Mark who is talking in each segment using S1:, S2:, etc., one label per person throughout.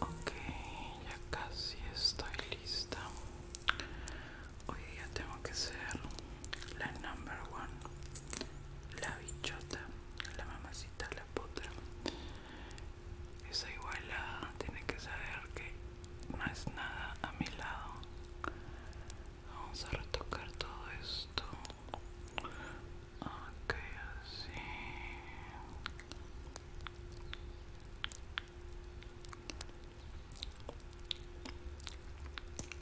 S1: Ok, ya casi estoy lista. Hoy día tengo que ser la number one, la bichota, la mamacita, la potra, esa igualada tiene que saber que no es nada a mi lado vamos a retocar todo esto ok así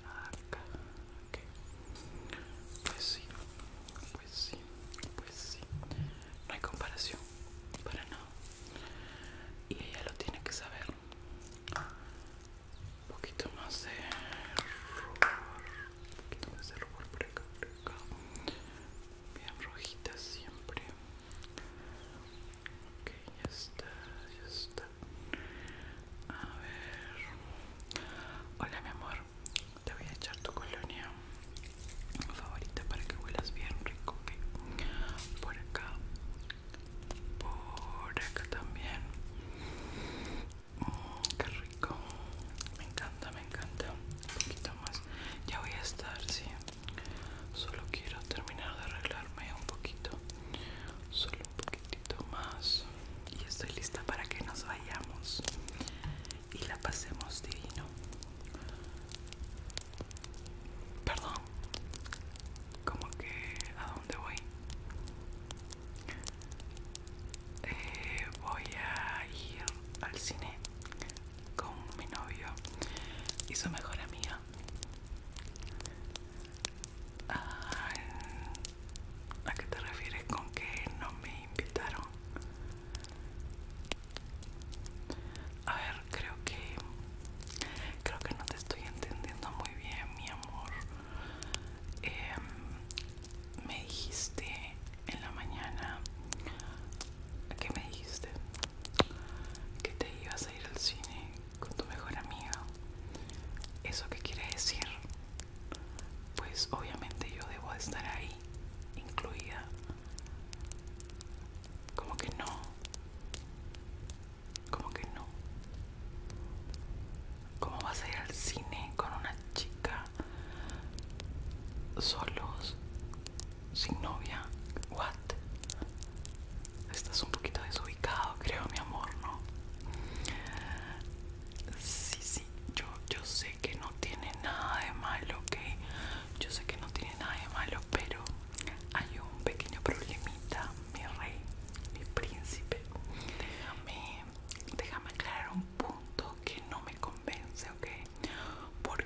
S1: Acá, okay. Pues sí, pues sí, pues sí. No hay comparación, para nada. Y ella lo tiene que saber. Un poquito más de rubor. Un poquito más de rubor por acá, por acá. Bien rojita siempre. Ok, ya está, ya está. A ver. Hola mi amor. Te voy a echar tu colonia favorita para que huelas bien rico, ¿ok? Por acá, por acá también. Mm, qué rico, me encanta, me encanta. Un poquito más, ya voy a estar, sí. Solo quiero terminar de arreglarme un poquito, solo un poquitito más. Y estoy lista para que nos vayamos y la pasemos divino. Perdón, como que a dónde voy? Eh, voy a ir al cine con mi novio y su mejor amiga ah, ¿A qué te refieres con que no me invitaron? A ver, creo que creo que no te estoy entendiendo muy bien, mi amor. Em, me dijiste en la mañana ¿Qué me dijiste que te ibas a ir al cine con tu mejor amiga. ¿Eso qué quiere decir? Pues obviamente yo debo de estar ahí incluida como que no como que no ¿Cómo vas a ir al cine con una chica solos sin novia? What? Estás un poquito desubicado, creo, mi amor, ¿no? Sí, sí, yo, yo sé que no tiene nada de malo, que Yo sé que no tiene nada de malo, pero hay un pequeño problemita, mi rey, mi príncipe. Déjame, déjame aclarar un punto que no me convence, ¿ok? ¿Por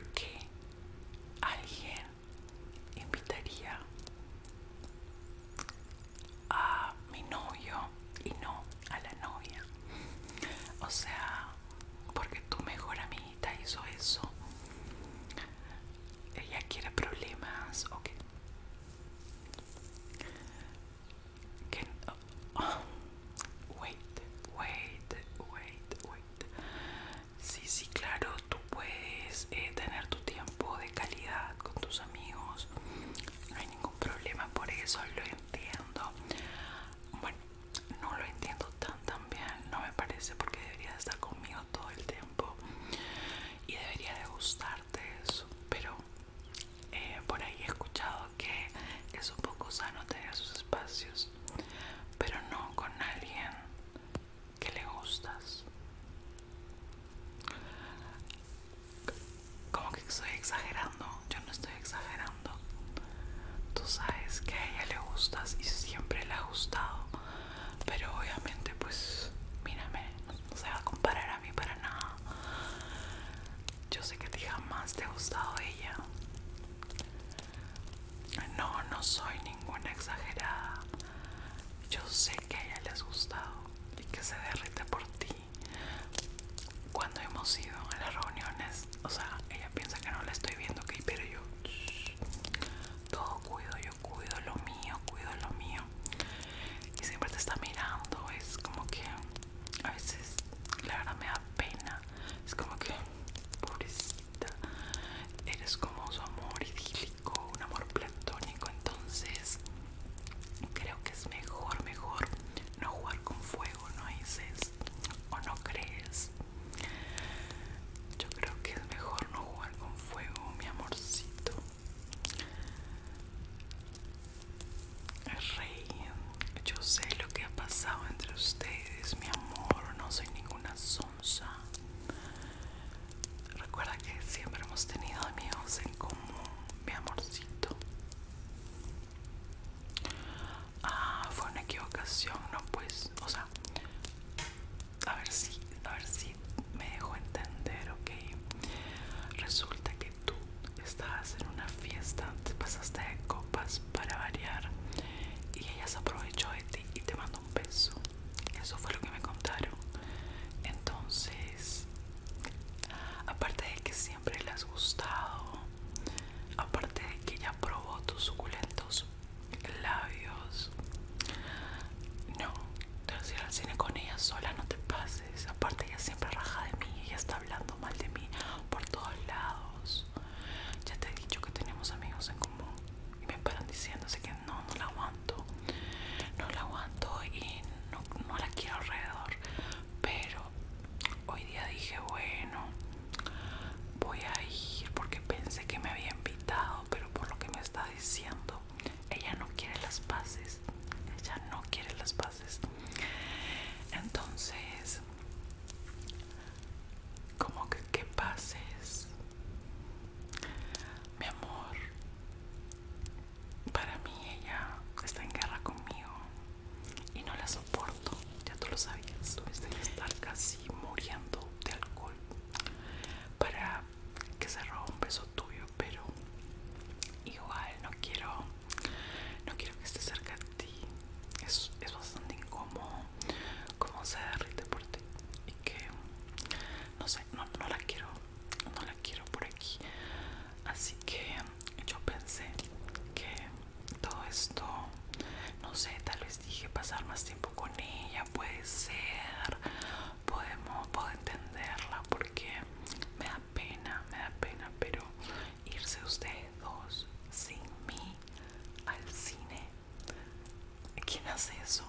S1: alguien invitaría a mi novio y no a la novia. O sea, porque tu mejor amiguita hizo eso. Ella quiere problemas o oh, Wait, wait, wait, wait. Sí, sí, claro, tú puedes eh, tener tu tiempo de calidad con tus amigos. No hay ningún problema por eso, lo entiendo bueno no lo entiendo tan tan bien no me parece porque debería estar conmigo todo el tiempo y debería de gustarte eso pero eh, por ahí he escuchado que es un poco sano tener sus espacios pero no con alguien que le gustas como que estoy exagerando, yo no estoy exagerando. Tú sabes que a ella le gustas y siempre le ha gustado, pero obviamente pues mírame, no, se va a comparar a mí para nada. Yo sé que a ti jamás te ha gustado ella. No, no soy ninguna exagerada. Yo sé que a ella le has gustado y que se derrite por ti cuando hemos ido a las reuniones, o sea, ella piensa que no la estoy viendo, ok, pero yo todo cuido, yo cuido lo mío, cuido lo mío. Y siempre te está mirando, es como que a veces la verdad me da pena, es como que pobrecita, eres como su amor idílico, un amor platónico, entonces creo que es mejor, mejor no jugar con fuego, no dices o no crees. Yo creo que es mejor no jugar con fuego, mi amorcito. Rey, yo sé lo que ha pasado entre ustedes, mi amor, no soy ninguna sonsa. Recuerda que siempre hemos tenido amigos en común, mi amorcito. Ah, fue una equivocación, no pues, o sea, a ver si, a ver si me dejo entender, ok. Resulta que tú estabas en una fiesta, te pasaste de copas para variar y ella se aprovechó de ti y te mandó un beso. Eso fue lo que me contaron. Entonces, aparte de que siempre le has gustado, aparte de que ella probó tus suculentos labios. No, te vas a ir al cine con ella sola, no te pases. Aparte ella siempre raja de mí, ella está hablando mal de mí por todos lados. Ya te he dicho que tenemos amigos en común y me paran diciéndose que no, no la vamos no la aguanto y no, no la quiero alrededor pero hoy día dije bueno voy a ir porque pensé que me había invitado pero por lo que me está diciendo ella no quiere las paces ella no quiere las paces entonces como que que pases mi amor para mí ella está en guerra conmigo y no la soporto. Ya tú lo sabías, tuviste que estar casi muriendo de alcohol para que se roba un beso tuyo, pero igual no quiero, no quiero que esté cerca de ti. Es, bastante incómodo como se derrite por ti y que no sé, no la quiero no la quiero por aquí así que yo pensé que todo esto no sé tal vez dije pasar más tiempo con ella puede ser podemos puedo entenderla porque me da pena me da pena pero irse ustedes dos sin mí al cine quién hace eso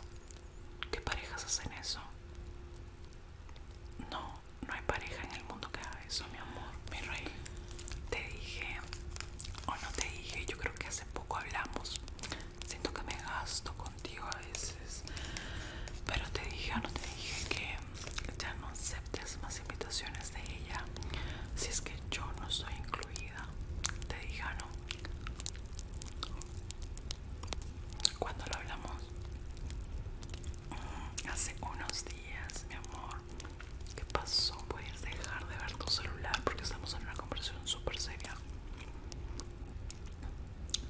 S1: ¿Qué parejas hacen eso? No, no hay pareja en el mundo que haga eso, mi amor, mi rey. Te dije, o no te dije, yo creo que hace poco hablamos. Siento que me gasto contigo a veces. Pero te dije o no te dije que ya no aceptes más invitaciones de ella. Si es que yo no soy incluida. Te dije no cuando lo hablamos mm, hace unos días, mi amor, ¿qué pasó? Puedes dejar de ver tu celular porque estamos en una conversación súper seria.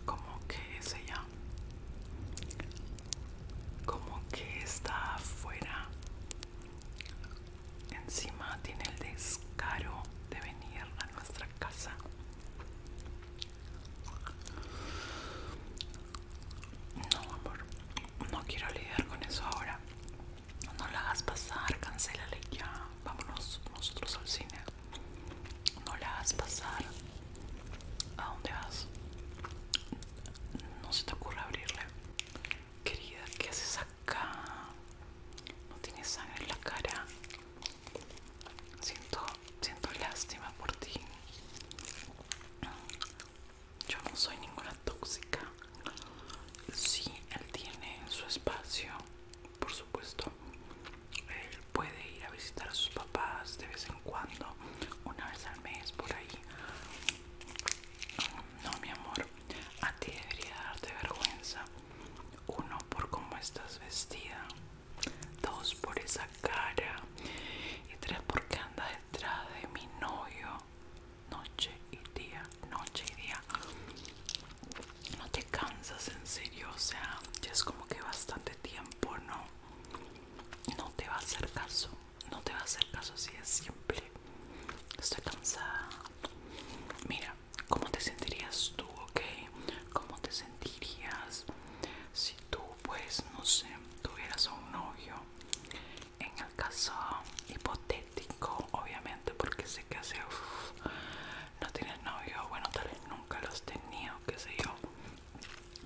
S1: Como que es ella, como que está afuera. Encima tiene el descaro de venir nuestra casa no amor no quiero lidiar con eso ahora no la hagas pasar cancélale ya vámonos nosotros al cine no la hagas pasar a dónde vas no se te ocurre abrirle querida qué haces acá no tienes sangre en la cara Siento, siento lástima por ti. Yo no soy ninguna tóxica. Sí, él tiene su espacio, por supuesto. Él puede ir a visitar a sus papás de vez en cuando, una vez al mes, por ahí. No, mi amor, a ti debería darte vergüenza uno, por cómo estás vestida. Dos, por esa cara. Y tres, porque andas detrás de mi novio. Noche y día, noche y día. No te cansas en serio, o sea, ya es como que bastante tiempo, ¿no? No te va a hacer caso, no te va a hacer caso si es simple. Estoy cansada. Mira, cómo te sentirías tú, ¿ok? ¿Cómo te sentirías si tú, pues, no sé, tuvieras a un novio? En el caso hipotético, obviamente, porque sé que hace no tienes novio, bueno, tal vez nunca los tenido, qué sé yo.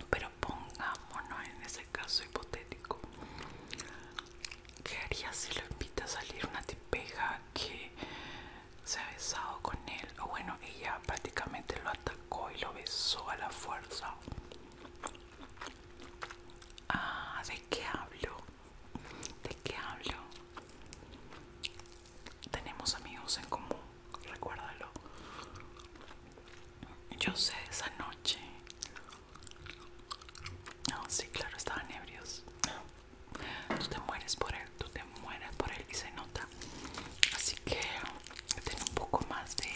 S1: Pero pongámonos en ese caso hipotético. ¿Qué harías si lo invitas a salir una tipeja que se ha besado con él, o bueno, ella prácticamente lo atacó y lo besó a la fuerza. Ah, ¿de qué hablo? ¿De qué hablo? Tenemos amigos en común, recuérdalo. Yo sé esa noche. No, ah, sí, claro, estaban ebrios tú te mueres por él, tú te mueres por él y se nota. Así que ten un poco más de,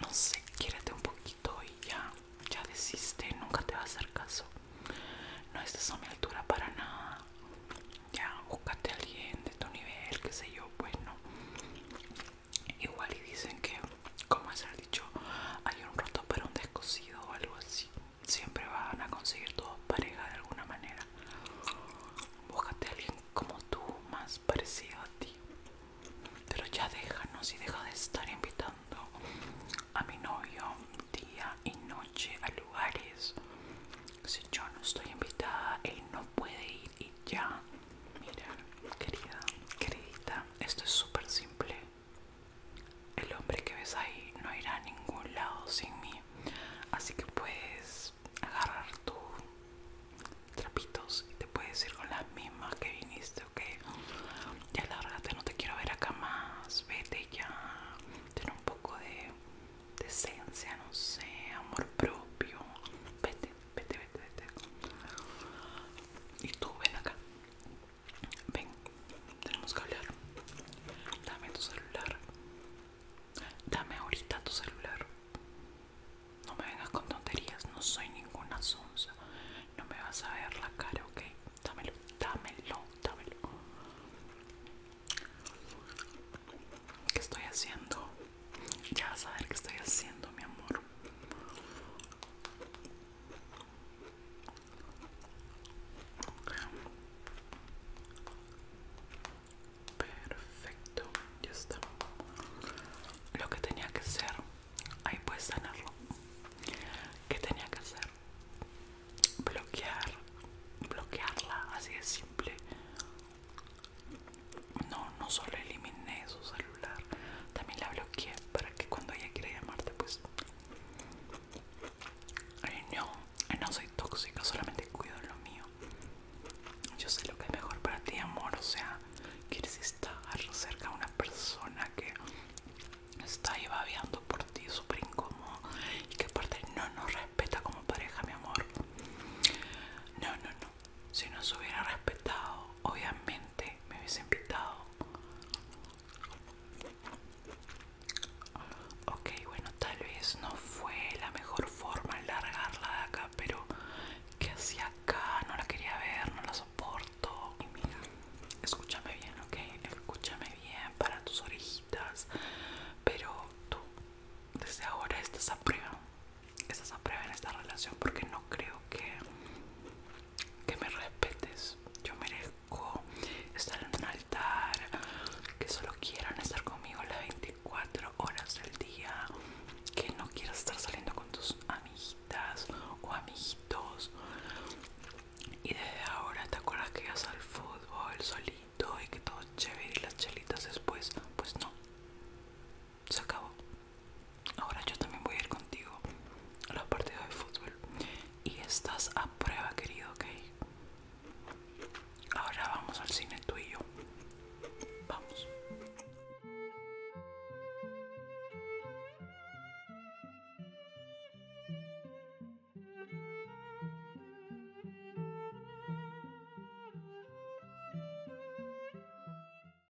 S1: no sé, quiérete un poquito y ya, ya desiste, nunca te va a hacer caso. No estás a mi altura para nada. Ya, búscate a alguien de tu nivel, qué sé yo, pues no. Igual y dicen que, como se ha dicho, hay un roto para un descosido o algo así siempre van a conseguir tu pareja de alguna manera. Búscate a alguien como tú, más parecido a ti. Pero ya déjanos y deja de estar invitando a mi novio día y noche a lugares. Si yo no estoy invitada, él no puede ir y ya. Mira, querida, queridita, esto es súper simple. El hombre que ves ahí no irá a ningún lado sin mí, así que puedes agarrar tus trapitos y te puedes ir con las mismas que viniste, ¿ok? Ya lárgate, no te quiero ver acá más, vete ya, ten un poco de decencia, no sé, amor propio, vete, vete, vete, vete. Y tú ven acá, Ven, tenemos que hablar. Dame tu celular. Dame ahorita tu celular. No me vengas con tonterías, no soy ninguna sonza. No me vas a ver la cara, ok. Dámelo, dámelo, dámelo. ¿Qué estoy haciendo? Ya vas a ver qué estoy haciendo, mi amor. Perfecto, ya está. Lo que tenía que hacer, ahí puedes sanarlo. ¿Qué tenía que hacer? Bloquear, bloquearla, así de simple. No, no solo eliminé salud también la bloqueé para que cuando ella quiera llamarte pues eh, no, eh, no soy tóxica, solamente cuido lo mío. Yo sé lo que es mejor para ti, amor. O sea, quieres estar cerca de una persona que está ahí babeando por ti, súper incómodo. Y que aparte no nos respeta como pareja, mi amor. No, no, no. Si nos hubiera respetado, obviamente me hubiese invitado. Ok, bueno, tal vez no fue la mejor forma largarla de acá, pero que hacía acá? No la quería ver, no la soporto. Y mira, escúchame bien, ok, escúchame bien para tus orejitas, pero tú desde ahora estás a prueba, estás a prueba en esta relación porque no creo que que me respetes. Yo merezco estar en un altar, que solo quieran estar conmigo las 24 horas del día, que no quieras estar saliendo con tus amiguitas o amiguitos. Y desde ahora te acuerdas que ibas al fútbol solito y que todo chévere y las chelitas después. Pues no, se acabó. Ahora yo también voy a ir contigo a los partidos de fútbol. Y estás a prueba, querido, ok. Ahora vamos al cine tú y yo. Vamos.